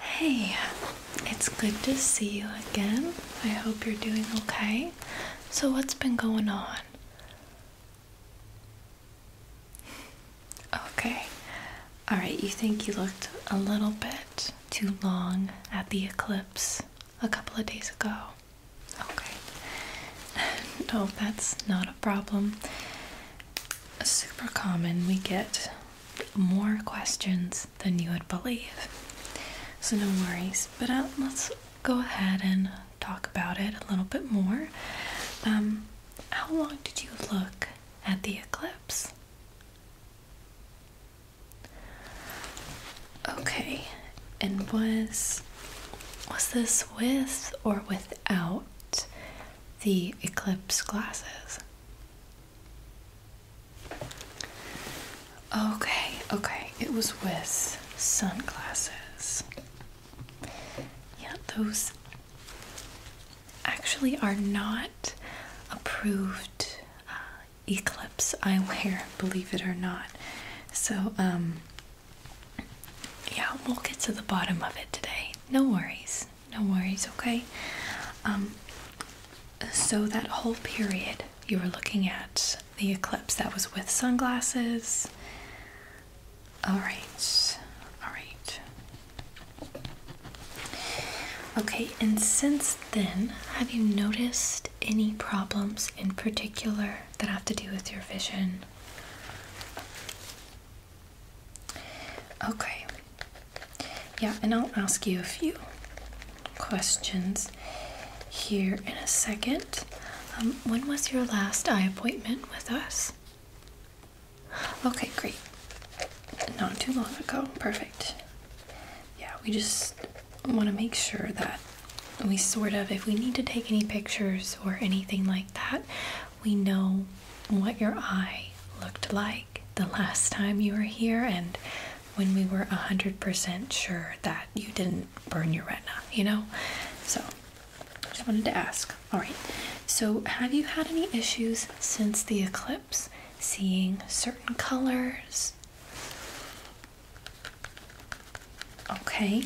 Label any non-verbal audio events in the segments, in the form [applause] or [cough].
Hey, it's good to see you again. I hope you're doing okay. So, what's been going on? Okay. Alright, you think you looked a little bit too long at the eclipse a couple of days ago. Okay. [laughs] no, that's not a problem. Super common. We get more questions than you would believe. So, no worries. But uh, let's go ahead and talk about it a little bit more. Um, how long did you look at the eclipse? Okay, and was was this with or without the eclipse glasses? Okay, okay, it was with sunglasses. Yeah, those actually are not approved uh, eclipse eyewear, [laughs] believe it or not. So, um, yeah, we'll get to the bottom of it today. No worries. No worries, okay? Um, so, that whole period you were looking at the eclipse that was with sunglasses. Alright, alright. Okay, and since then, have you noticed any problems in particular that have to do with your vision? Okay. Yeah, and I'll ask you a few questions here in a second. Um, when was your last eye appointment with us? Okay, great. Not too long ago. Perfect. Yeah, we just want to make sure that we sort of, if we need to take any pictures or anything like that, we know what your eye looked like the last time you were here and when we were 100% sure that you didn't burn your retina, you know? So, just wanted to ask. All right. So, have you had any issues since the eclipse seeing certain colors? Okay.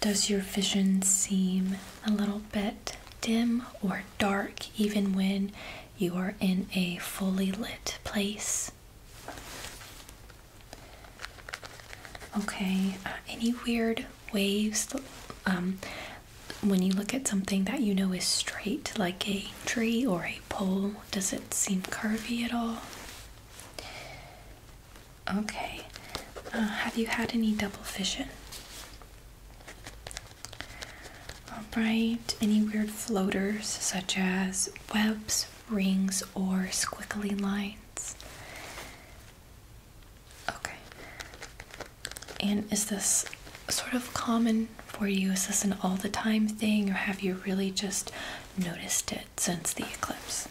Does your vision seem a little bit dim or dark even when you are in a fully lit place. Okay, uh, any weird waves um, when you look at something that you know is straight, like a tree or a pole? Does it seem curvy at all? Okay, uh, have you had any double vision? Alright, any weird floaters such as webs, rings, or squiggly lines? Okay. And is this sort of common for you? Is this an all the time thing, or have you really just noticed it since the eclipse?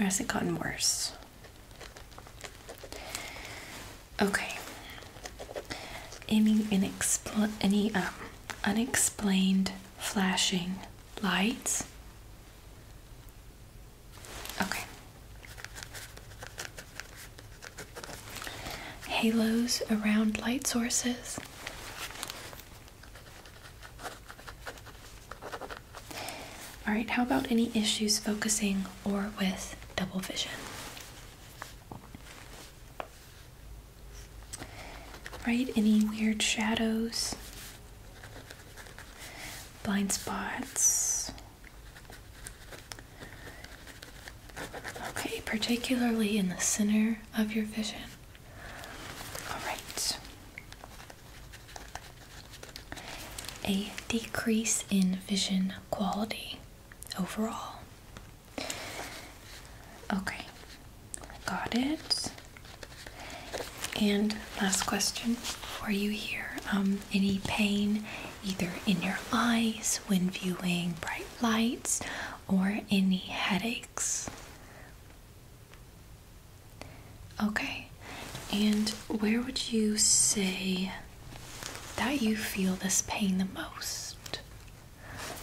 Or has it gotten worse? Okay. Any inexpl any um, unexplained flashing lights? Okay. Halos around light sources. All right, how about any issues focusing or with double vision. Right? Any weird shadows, blind spots. Okay, particularly in the center of your vision. All right. A decrease in vision quality overall. Okay, got it. And last question for you here. Um, any pain either in your eyes when viewing bright lights or any headaches? Okay, and where would you say that you feel this pain the most.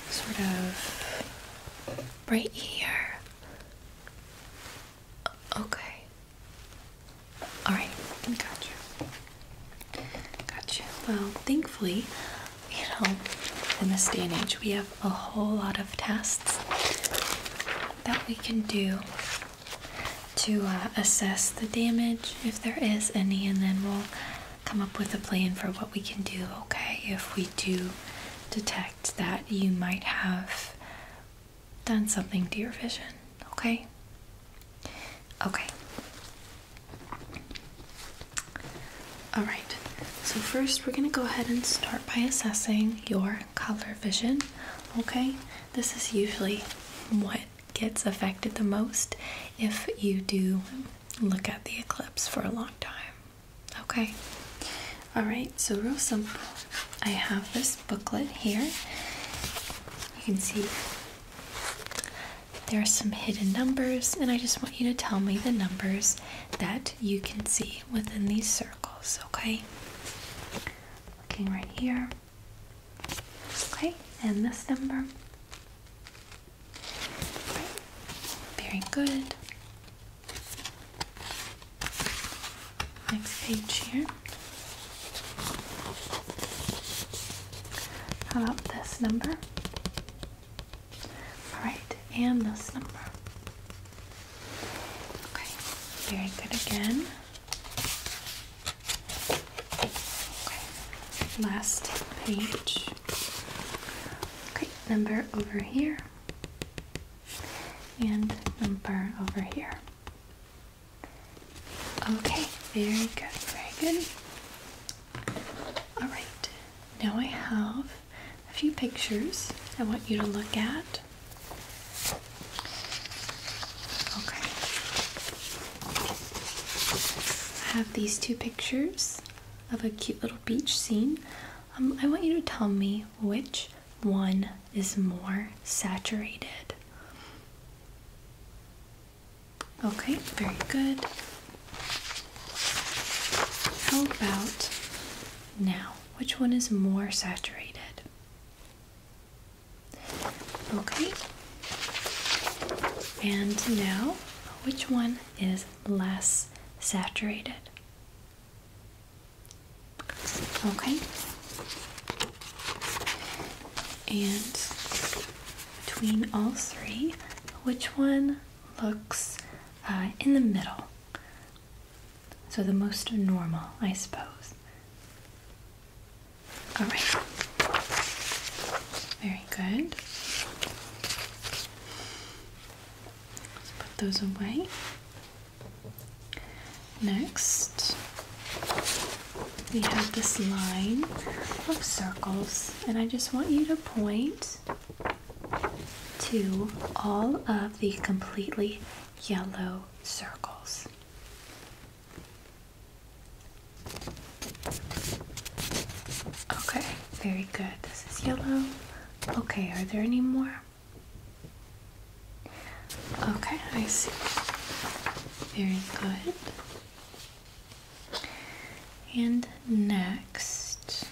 Sort of right here. Okay. Alright, got you. Got you. Well, thankfully, you know, in this day and age, we have a whole lot of tests that we can do to uh, assess the damage if there is any, and then we'll come up with a plan for what we can do, okay? If we do detect that you might have done something to your vision, okay? Okay. All right, so first we're gonna go ahead and start by assessing your color vision, okay? This is usually what gets affected the most if you do look at the eclipse for a long time. Okay. All right, so real simple. I have this booklet here. You can see there are some hidden numbers, and I just want you to tell me the numbers that you can see within these circles, okay? Looking right here. Okay, and this number. Very good. Next page here. How about this number? Alright, and this number. Okay, very good again. Last page. Okay, number over here and number over here. Okay, very good, very good. Alright, now I have a few pictures I want you to look at. Okay. I have these two pictures of a cute little beach scene. Um, I want you to tell me which one is more saturated. Okay, very good. How about now? Which one is more saturated? Okay. And now, which one is less saturated? Okay. And between all three, which one looks uh, in the middle? So the most normal, I suppose. All right. Very good. put those away. Next, we have this line of circles, and I just want you to point to all of the completely yellow circles. Okay, very good. This is yellow. Okay, are there any more? Okay, I see. Very good. And next,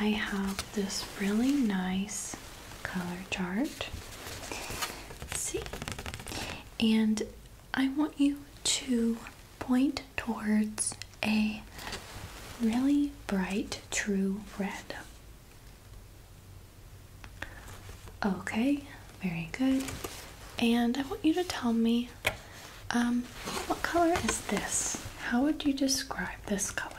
I have this really nice color chart. see, and I want you to point towards a really bright true red. Okay, very good. And I want you to tell me um, what color is this? How would you describe this color?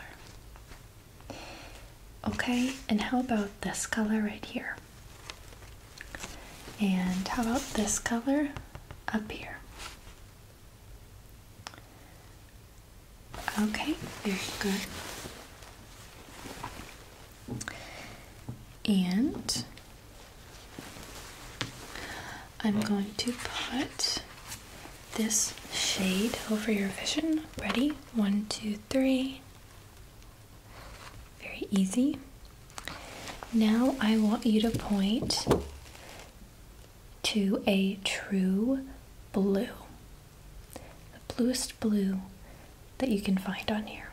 Okay, and how about this color right here? And how about this color up here? Okay, very good. And I'm going to put this shade over your vision. Ready? One, two, three. Very easy. Now I want you to point to a true blue, the bluest blue that you can find on here.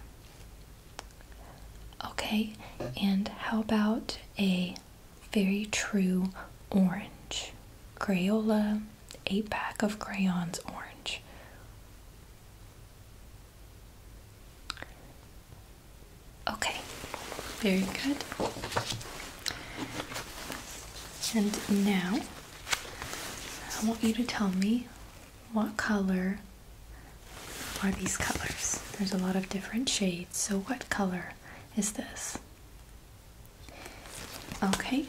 Okay, and how about a very true orange? Crayola, eight pack of crayons orange. Okay, very good. And now I want you to tell me what color are these colors? There's a lot of different shades, so what color is this? Okay,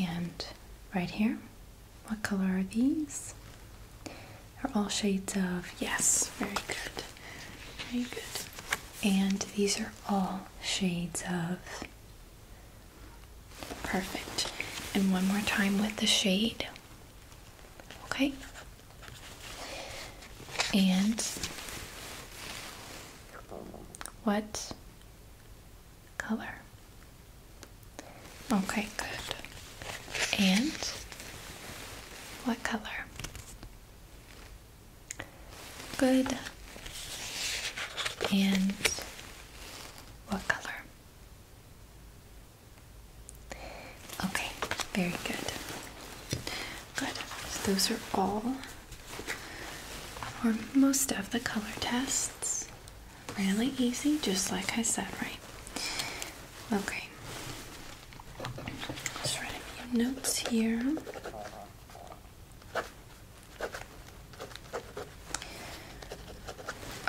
and right here. What color are these? They're all shades of, yes, very good, very good. And these are all shades of, perfect. And one more time with the shade, okay? And what color. Okay, good. And what color? Good. And what color? Okay, very good. Good. those are all or most of the color tests really easy, just like I said, right? Okay. Just write notes here.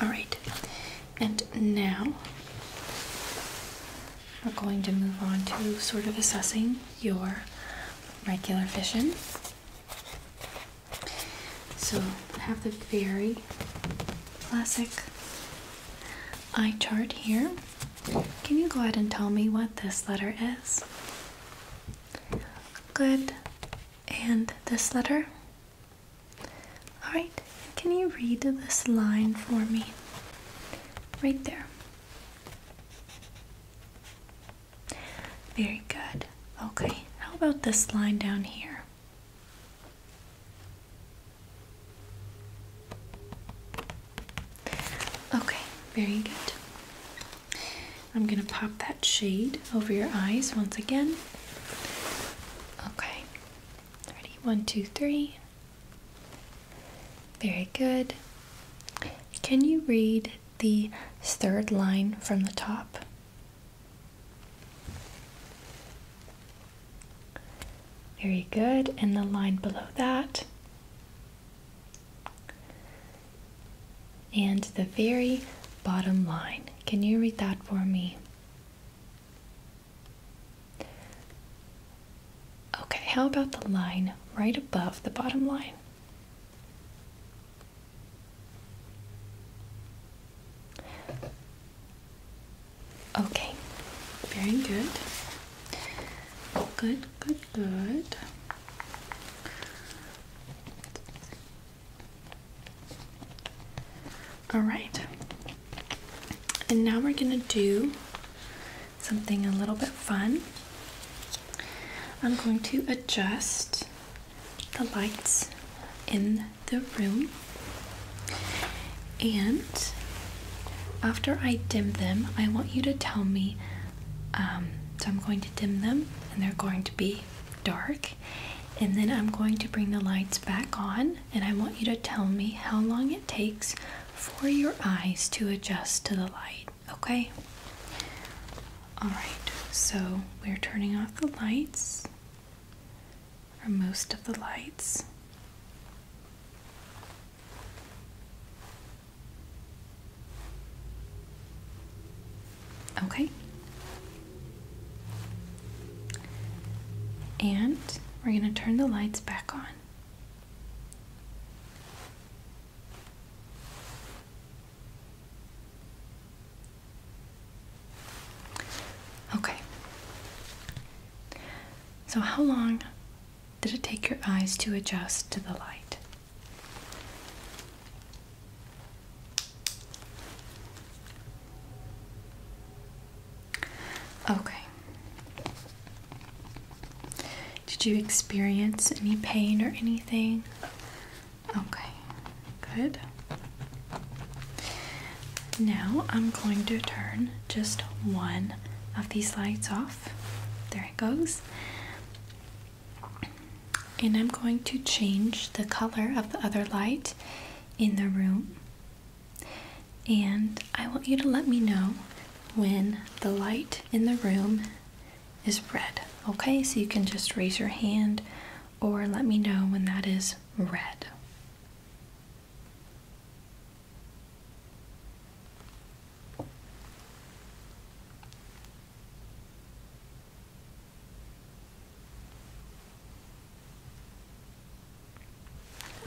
Alright, and now we're going to move on to sort of assessing your regular vision. So I have the very classic eye chart here. Can you go ahead and tell me what this letter is? Good. And this letter? Alright, can you read this line for me? Right there. Very good. Okay, how about this line down here? Okay, very good. I'm going to pop that shade over your eyes once again. Okay, ready? One, two, three. Very good. Can you read the third line from the top? Very good, and the line below that. And the very bottom line. Can you read that for me? Okay, how about the line right above the bottom line? Okay, very good. Good, good, good. All right, and now we're gonna do something a little bit fun. I'm going to adjust the lights in the room and after I dim them I want you to tell me um, so I'm going to dim them and they're going to be dark and then I'm going to bring the lights back on and I want you to tell me how long it takes for your eyes to adjust to the light okay all right, so we're turning off the lights, or most of the lights. Okay. And we're going to turn the lights back on. Okay. So, how long did it take your eyes to adjust to the light? Okay. Did you experience any pain or anything Okay, good. Now I'm going to turn just one of these lights off. There it goes. And I'm going to change the color of the other light in the room. And I want you to let me know when the light in the room is red. Okay, so you can just raise your hand or let me know when that is red.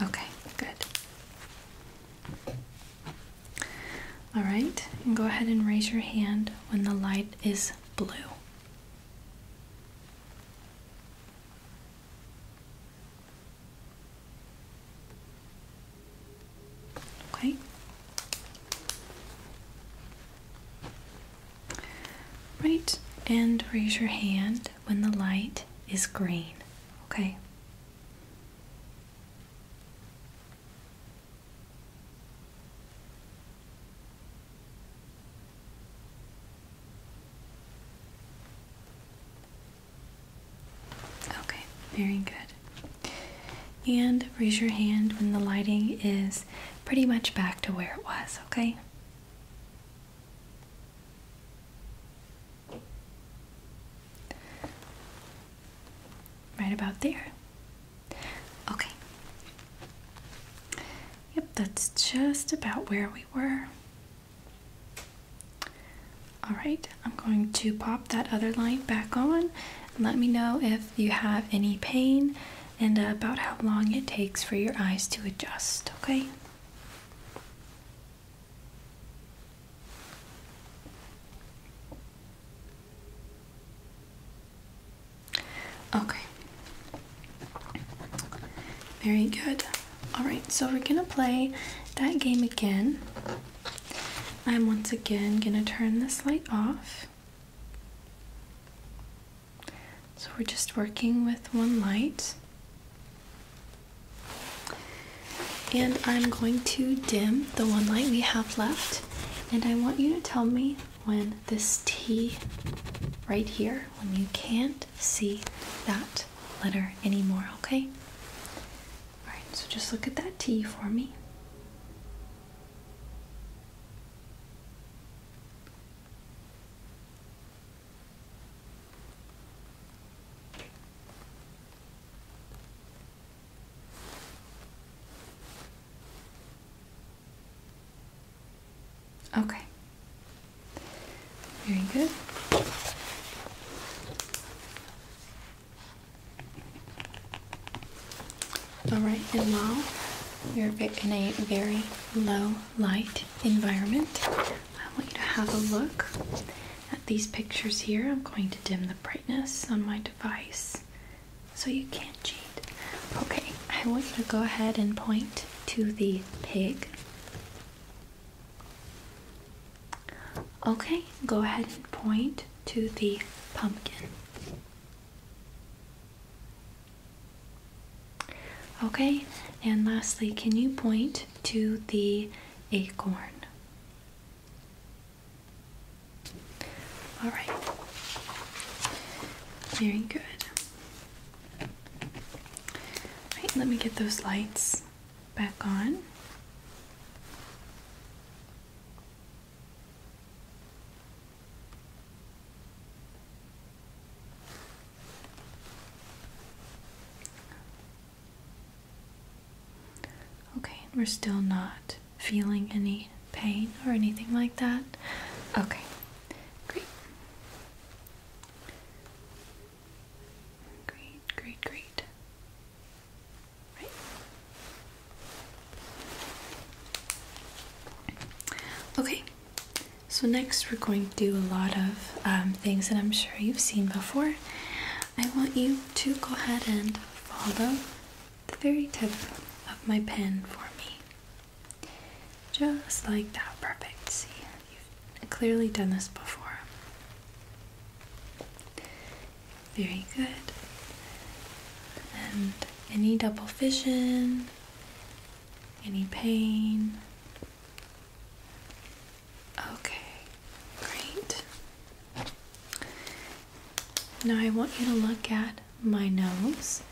Okay, good. All right, and go ahead and raise your hand when the light is blue. Okay. Right, and raise your hand when the light is green. Okay. Okay, very good. And raise your hand when the lighting is pretty much back to where it was, okay? Right about there. Okay. Yep, that's just about where we were. All right, I'm going to pop that other line back on. Let me know if you have any pain and about how long it takes for your eyes to adjust, okay? Okay. Very good. Alright, so we're gonna play that game again. I'm once again gonna turn this light off. So we're just working with one light. And I'm going to dim the one light we have left. And I want you to tell me when this T right here, when you can't see that letter anymore, okay? Alright, so just look at that T for me. Okay. Very good. All right, and now we are in a very low light environment. I want you to have a look at these pictures here. I'm going to dim the brightness on my device so you can't cheat. Okay, I want you to go ahead and point to the pig. Okay, go ahead and point to the pumpkin. Okay, and lastly, can you point to the acorn? All right. Very good. All right, let me get those lights back on. Okay, we're still not feeling any pain or anything like that? Okay, great. Great, great, great. Right. Okay, so next we're going to do a lot of um, things that I'm sure you've seen before. I want you to go ahead and follow the very tip of my pen for me. Just like that, perfect. See, you've clearly done this before. Very good. And any double vision, any pain. Okay, great. Now I want you to look at my nose.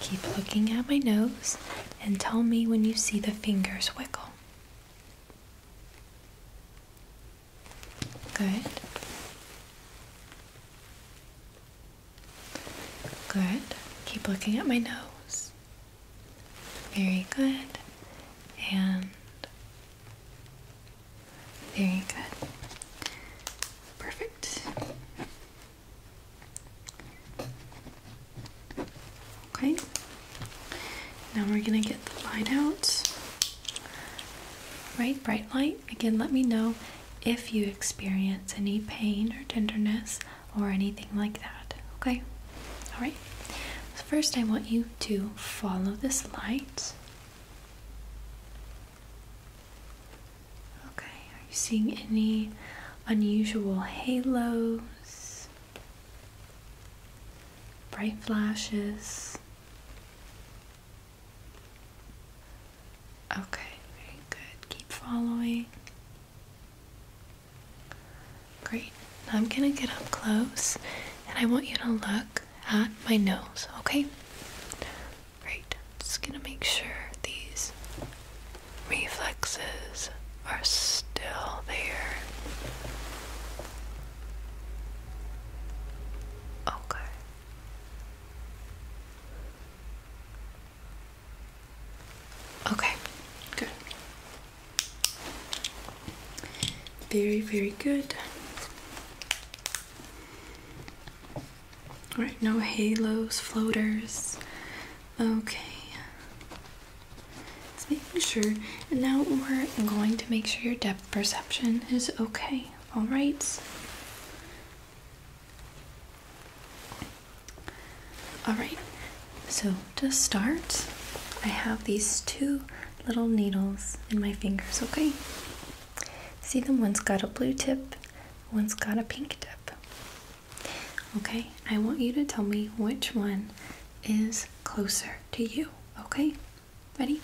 Keep looking at my nose and tell me when you see the fingers wiggle. Good. Good. Keep looking at my nose. Very good. And very good. Perfect. Okay, now we're gonna get the light out. Right, bright light. Again, let me know if you experience any pain or tenderness or anything like that. Okay, all right. So first, I want you to follow this light. Okay, are you seeing any unusual halos, bright flashes? Okay, very good. Keep following. Great. I'm going to get up close and I want you to look at my nose, okay? Great. Just gonna make sure these reflexes are still there. Okay. Okay, good. Very, very good. All right, no halos, floaters. Okay. let's make sure. And now we're going to make sure your depth perception is okay. All right. All right. So to start, I have these two little needles in my fingers, okay? See them? One's got a blue tip, one's got a pink tip. Okay, I want you to tell me which one is closer to you. Okay, ready?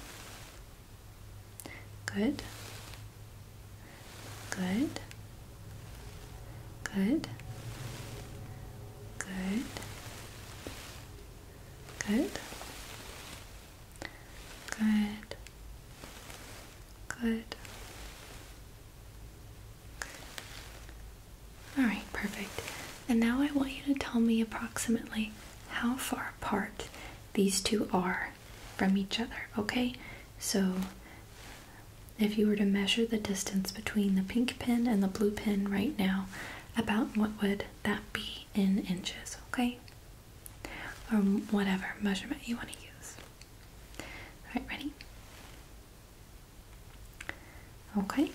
Good. Good. Good. Good. Good. Good. Good. All right, perfect. And now I want you to tell me approximately how far apart these two are from each other, okay? So if you were to measure the distance between the pink pin and the blue pin right now, about what would that be in inches, okay? Or whatever measurement you want to use. Alright, ready? Okay.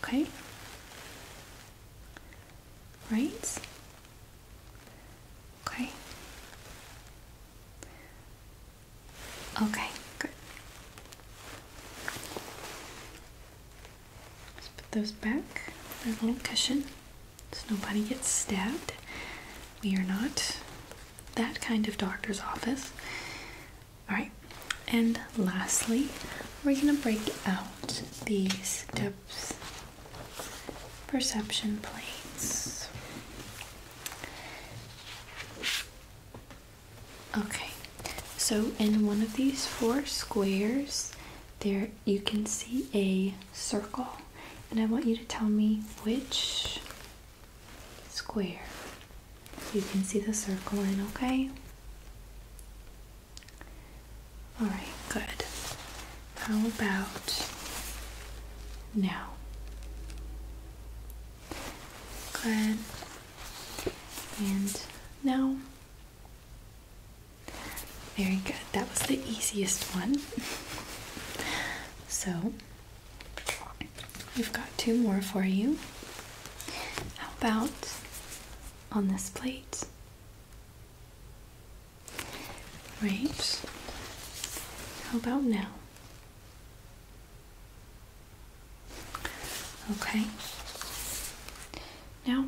Okay. Right. Okay. Okay, good. let put those back, that little cushion so nobody gets stabbed. We are not that kind of doctor's office. Alright, and lastly, we're going to break out these depth perception plates. Okay, so in one of these four squares, there you can see a circle, and I want you to tell me which square you can see the circle in, okay? Alright, good. How about now? Good. And now very good. That was the easiest one. So, we've got two more for you. How about on this plate? Right. How about now? Okay. Now,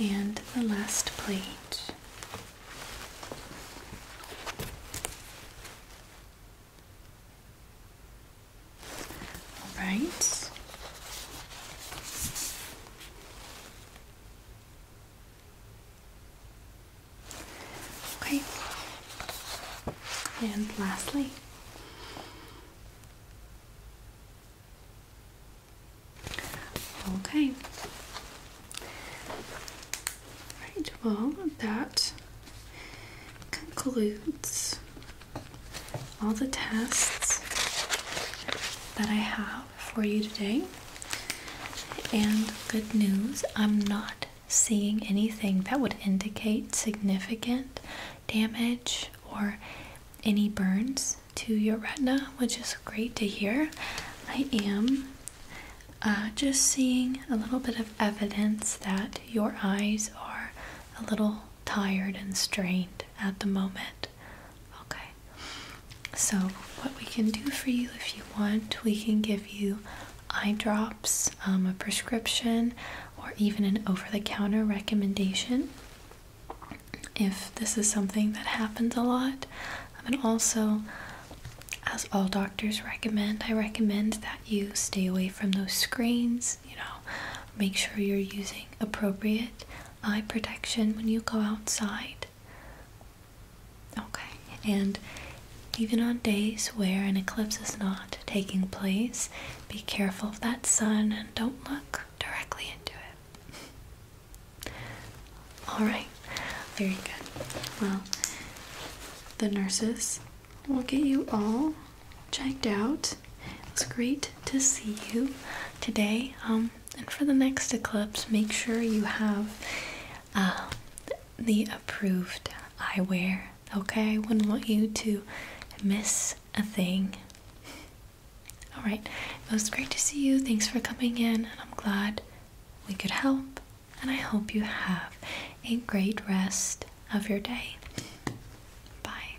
and the last plate. All right. Okay. And lastly, Okay. Right, well, that concludes all the tests that I have for you today. And good news, I'm not seeing anything that would indicate significant damage or any burns to your retina, which is great to hear. I am uh, just seeing a little bit of evidence that your eyes are a little tired and strained at the moment. Okay, so what we can do for you if you want, we can give you eye drops, um, a prescription or even an over the counter recommendation if this is something that happens a lot. And also, as all doctors recommend, I recommend that you stay away from those screens, you know, make sure you're using appropriate eye protection when you go outside. Okay, and even on days where an eclipse is not taking place, be careful of that sun and don't look directly into it. [laughs] All right, very good. Well, the nurses will get you all checked out. It was great to see you today. Um, and for the next eclipse, make sure you have uh, the approved eyewear. Okay, I wouldn't want you to miss a thing. All right, it was great to see you. Thanks for coming in, and I'm glad we could help. And I hope you have a great rest of your day. Bye.